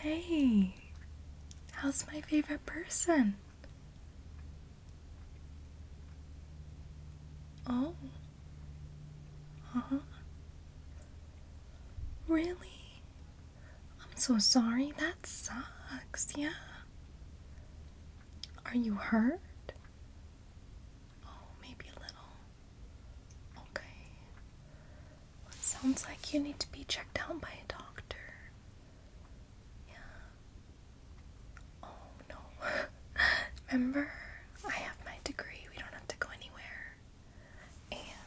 Hey, how's my favorite person? Oh, huh? Really? I'm so sorry. That sucks. Yeah. Are you hurt? Oh, maybe a little. Okay. sounds like you need to be checked down by a doctor. Yeah. Oh no. Remember, I have my degree. We don't have to go anywhere. And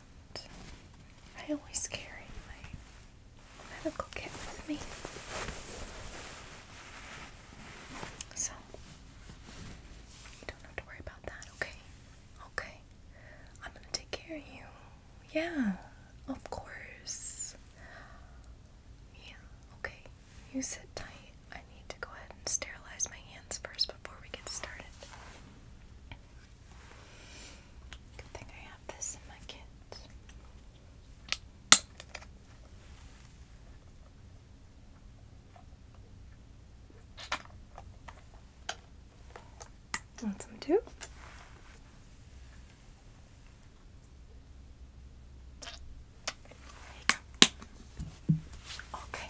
I always carry my medical kit with me. So, you don't have to worry about that, okay? Okay. I'm gonna take care of you. Yeah, of course. Yeah, okay. You sit tight. I need to go ahead and sterilize my hands first before we get started. Good thing I have this in my kit. Want some too? Okay.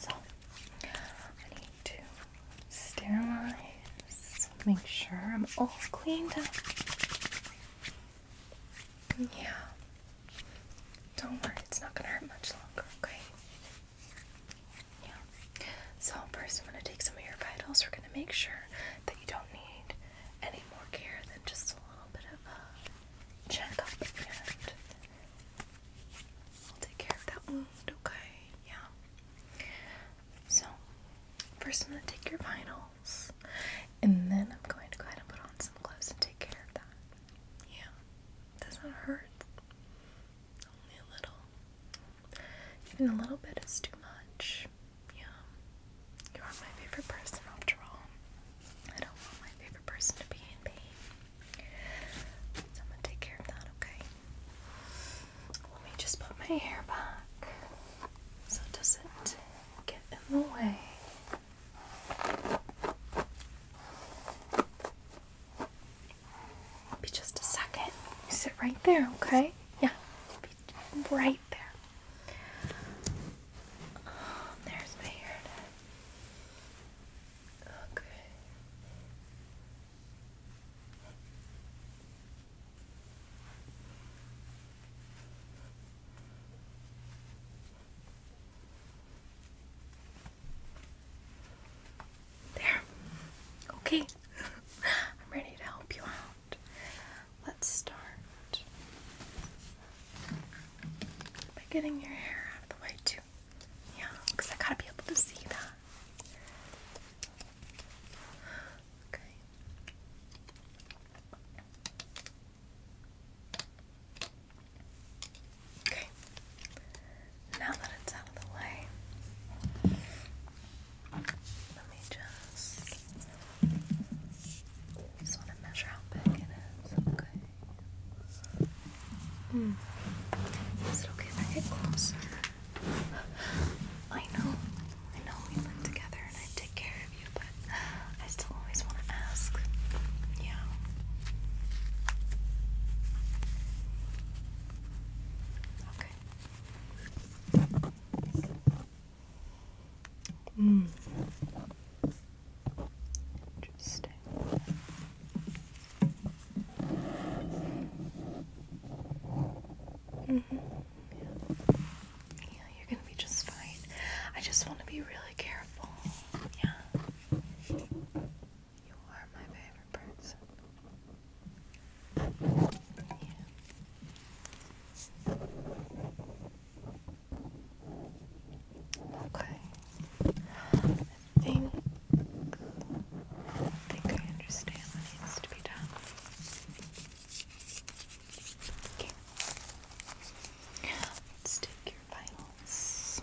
So I need to sterilize, make sure I'm all cleaned up. Yeah. Don't worry, it's not gonna hurt much longer, okay? Yeah. So first, I'm gonna take some of your vitals. We're gonna make sure that you don't need any more care than just a little bit of a checkup, and we'll take care of that wound. Okay. Yeah. So first, I'm gonna take your vitals, and then I'm going to go ahead and put on some gloves and take care of that. Yeah doesn't hurt. Only a little. Even a little bit is too much. Yeah. You are my favorite person after all. I don't want my favorite person to be in pain. So I'm gonna take care of that, okay? Let me just put my hair back so it doesn't get in the way. Be just a second. sit right there, okay? Yeah. right there. there's my hair. Okay. There. Okay. I'm ready to help you out. Let's start by getting your hair out of the way, too. Yeah, I gotta be able to see that. Okay. Okay, now that it's out of the way, let me just just want to measure how big it is. Okay. Hmm. Is it okay if I get closer? I know, I know we live together and I take care of you, but I still always want to ask. Yeah. Okay. Mm. Interesting. Mm -hmm. yeah. yeah, you're gonna be just fine. I just want to be really careful. Yeah. You are my favorite person. Okay. I think I understand what needs to be done. Okay. Let's take your vitals.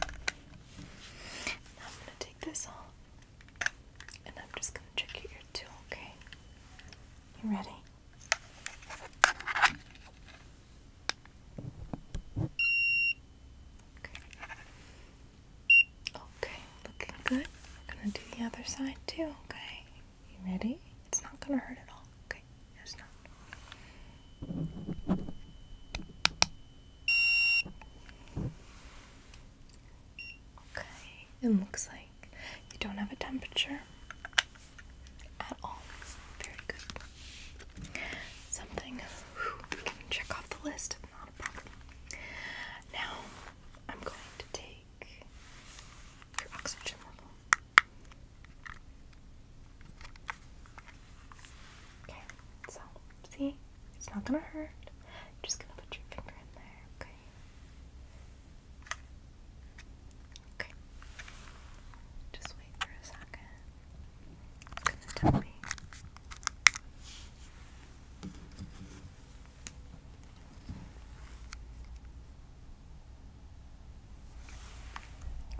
I'm gonna take this off and I'm just gonna check your ear too, okay? You ready? Okay. Okay, looking good. I'm gonna do the other side too, okay? You ready? It's not gonna hurt at all, okay? It's not. Okay, it looks like you don't have a temperature at all. Very good. Something check off the list, not a problem. Now, I'm going to take your oxygen level. Okay. So, see? It's not gonna hurt. I'm just gonna put your finger in there, okay? Okay. Just wait for a second. gonna tell me.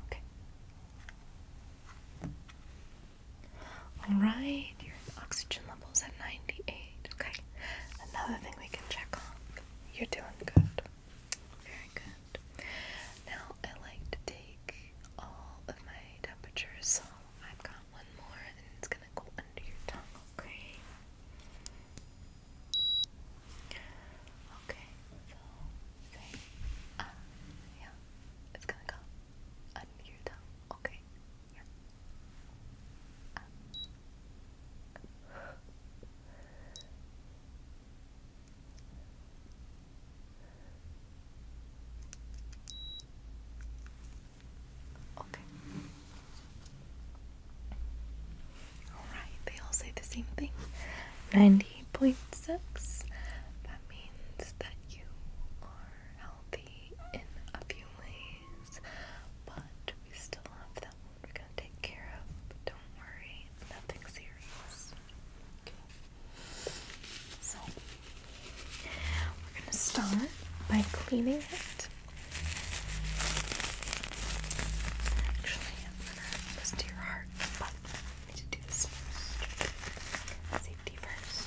Okay. Alright, your oxygen level's at 98. Okay, another thing we can check on. You're doing good. Very good. Now, I like to take all of my temperatures, so I've got one more and it's gonna go under your tongue, okay? Okay, uh, yeah, it's gonna go under Okay. Okay. All right. They all say the same thing. Ninety point six. That means that you are healthy in a few ways, but we still have that we're gonna take care of. don't worry, nothing serious. Okay. So we're gonna start by cleaning it. Actually, I'm gonna listen to your heart, but I need to do this first. Safety first.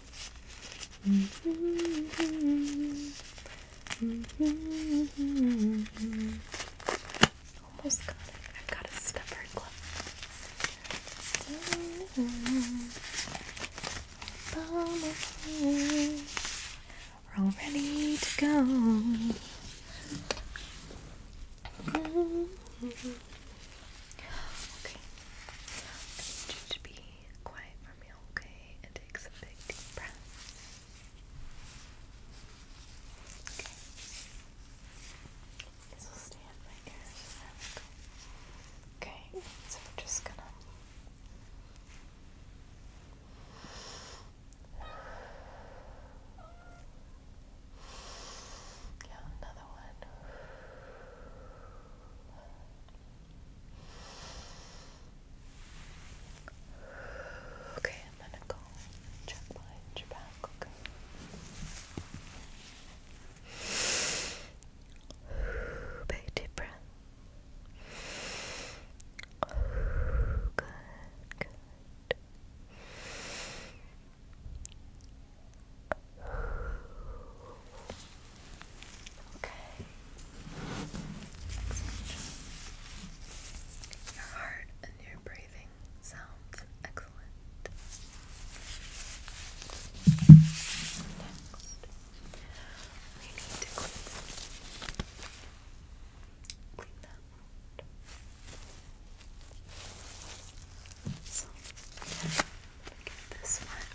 Almost got it. I've got We're all ready to go. Okay. I need you to be quiet okay? And take some big deep breaths. Okay. Okay, so we're just gonna. Yeah, another one. Okay, I'm gonna go check behind back, Big deep breath. good. Okay. Your heart and your breathing sounds excellent. Next, we need to clean that. out. So, Look this one.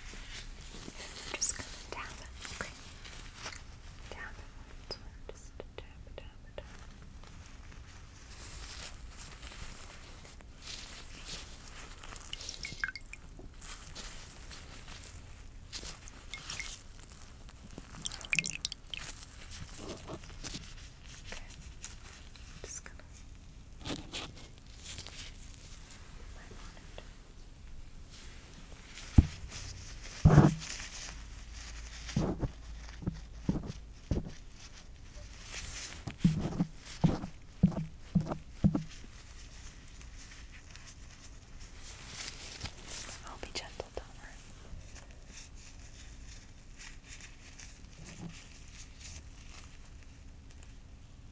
I'm just gonna tap it, okay? Tap it once more, just tap, tap, tap. Okay. just gonna I'll be gentle, don't worry. Good.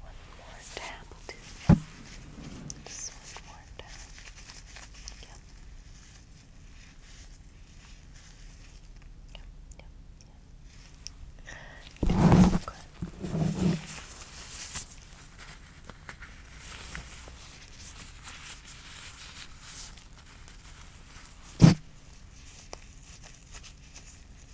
One more tap Just one more tap. Yep. Yep, yep,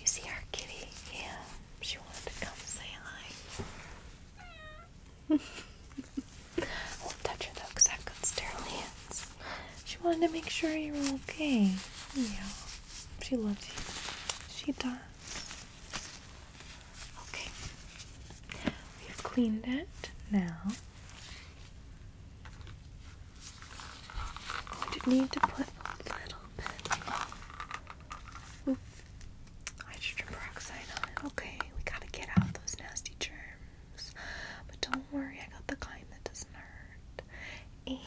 You see our kitty? Yeah, she wanted to come say hi. I not touch her though because I've She wanted to make sure you were okay. Yeah, she loves you. She does. Okay, we've cleaned it now. we am going to need to put a little bit of hydrogen peroxide on it. Okay, we gotta get out those nasty germs. But don't worry, I got the kind that doesn't hurt. And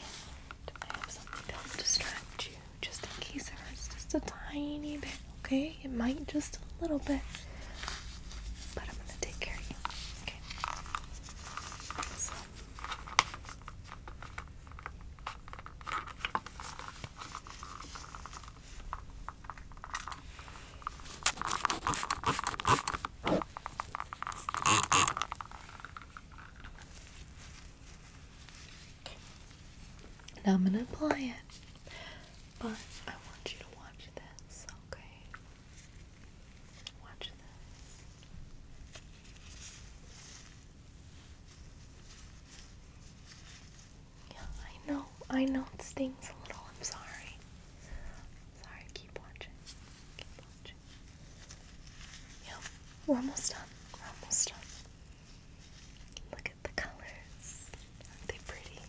I have something to distract you just in case it hurts just a tiny bit, okay? It might just a little bit, but I'm gonna take care of you, okay? Now I'm gonna apply it, but I want you to watch this, okay? Watch this. Yeah, I know, I know it stings a little. I'm sorry. sorry, keep watching. Keep watching. Yep, we're almost done. We're almost done. Look at the colors. are pretty?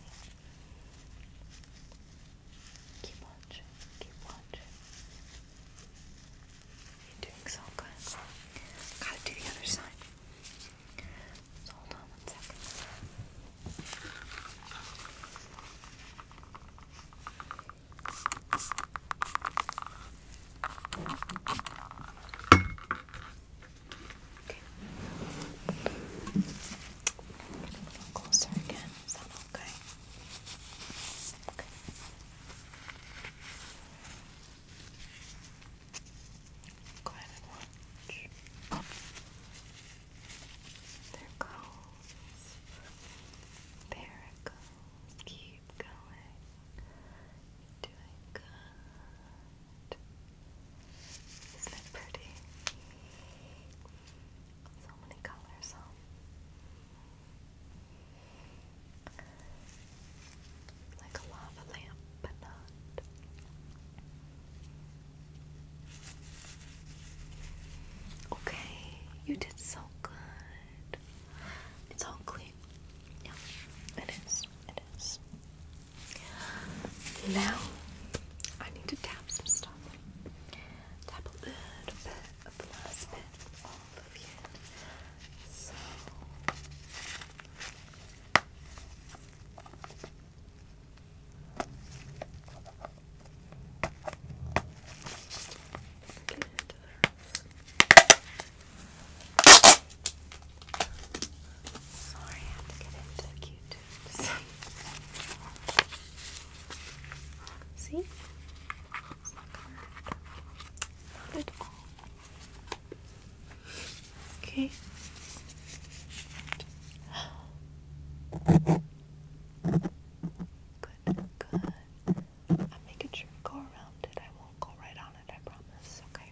Keep watching, keep watching. You're doing so good. Gotta do the other side. hold on Okay. a little closer again. Is that okay? Okay. Go ahead and watch. There goes. There goes. Keep going. doing good. Isn't it pretty? So many colors, huh? Like a lava lamp, but not. Okay, you did so good. It's all clean. Yeah, it is. It is. Now I need to tap some stuff. Tap a little bit of the last bit of all So Sorry, I have to get into the cute See? Okay. Good, good. I'm making sure to go around it. I won't go right on it, I promise, okay?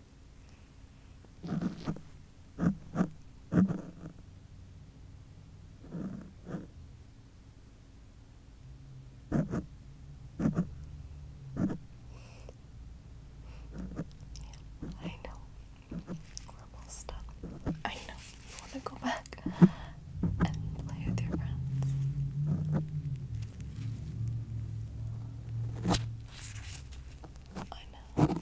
I know. Horrible stuff. I know. You want to go back and play with your friends. I know.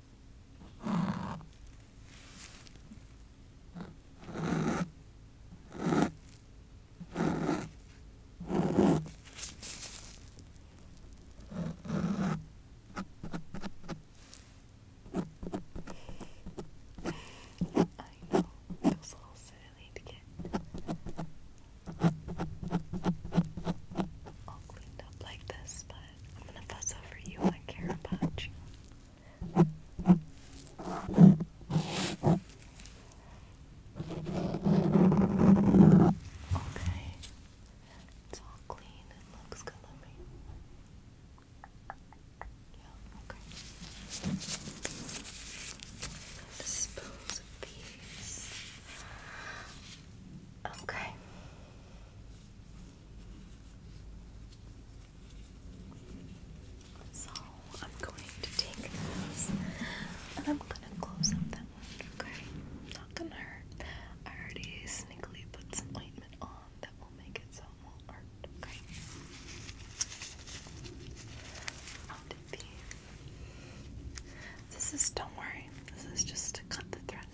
know, it feels silly to get all cleaned up like this, but I'm gonna fuss over you. I care about you. Okay. It's all clean. It looks good on me. Yeah, okay. Dispose of these. Okay. So I'm going to take those and I'm gonna close up that one, okay? Not gonna hurt. I already sneakily put some ointment on that will make it so it won't hurt, okay? I'll these. This is, don't worry, this is just to cut the thread.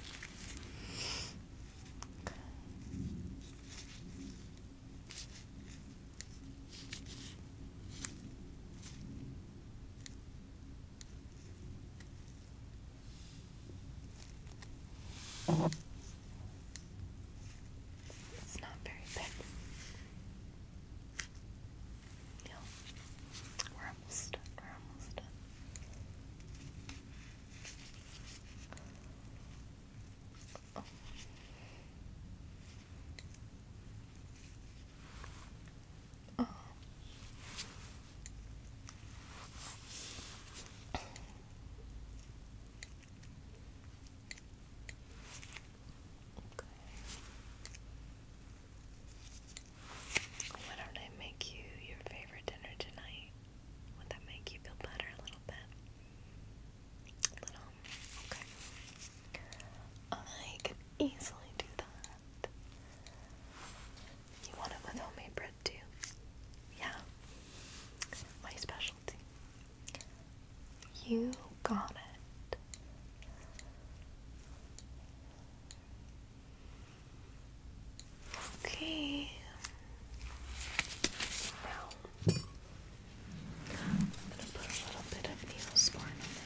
It's not very big. Yeah, we're almost We're almost done. Okay. Why don't I make you your favorite dinner tonight? Would that make you feel better a little bit? A little? Okay. I could easily do that. You want it with homemade bread too? Yeah. My specialty. You got it. Okay. Now, I'm going to put a little bit of Neosporin on them.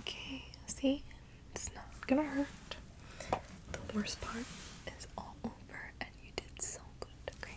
Okay. Okay, see? It's not gonna hurt. The worst part is all over, and you did so good, okay?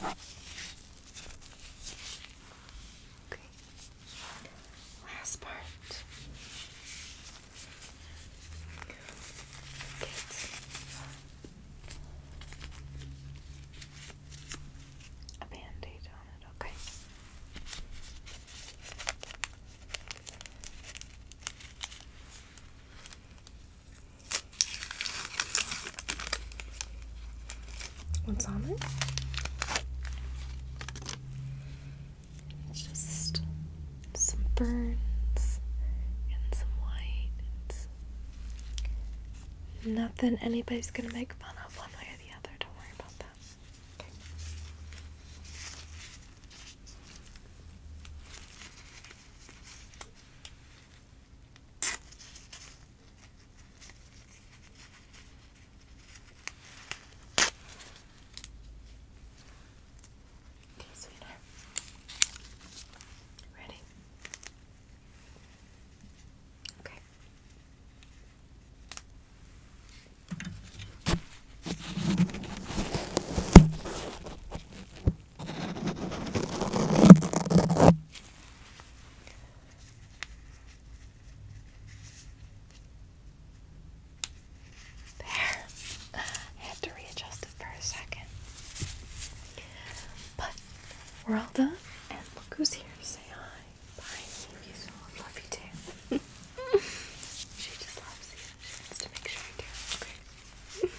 Okay. Last part a band on it, okay. What's on it? just some burns and some whites. Nothing anybody's gonna make fun of one way or the other. Don't worry about that. Okay. Okay, sweetheart. Ready? Okay. There. I had to readjust it for a second. But we're all done, and look who's here to say hi. Bye. You love you too. she just loves you. She wants to make sure you do.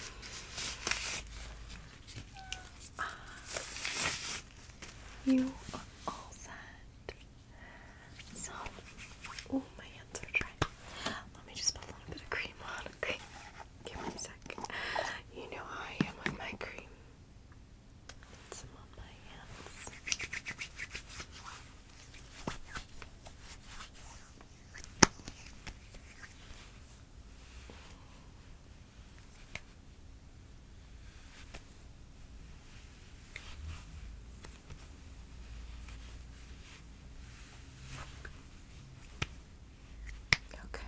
Okay. Uh, you are all set. So, my hands are dry. Let me just put a little bit of cream on, okay? Give me a sec. You know how I am with my cream. Put some on my hands. Okay.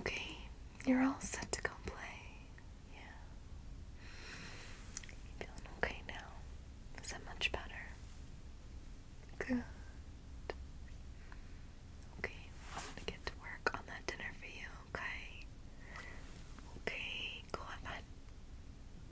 Okay, you're all set to go play. Yeah. feeling okay now? Is that much better? Good. Okay, I'm gonna get to work on that dinner for you, okay? Okay, go have fun.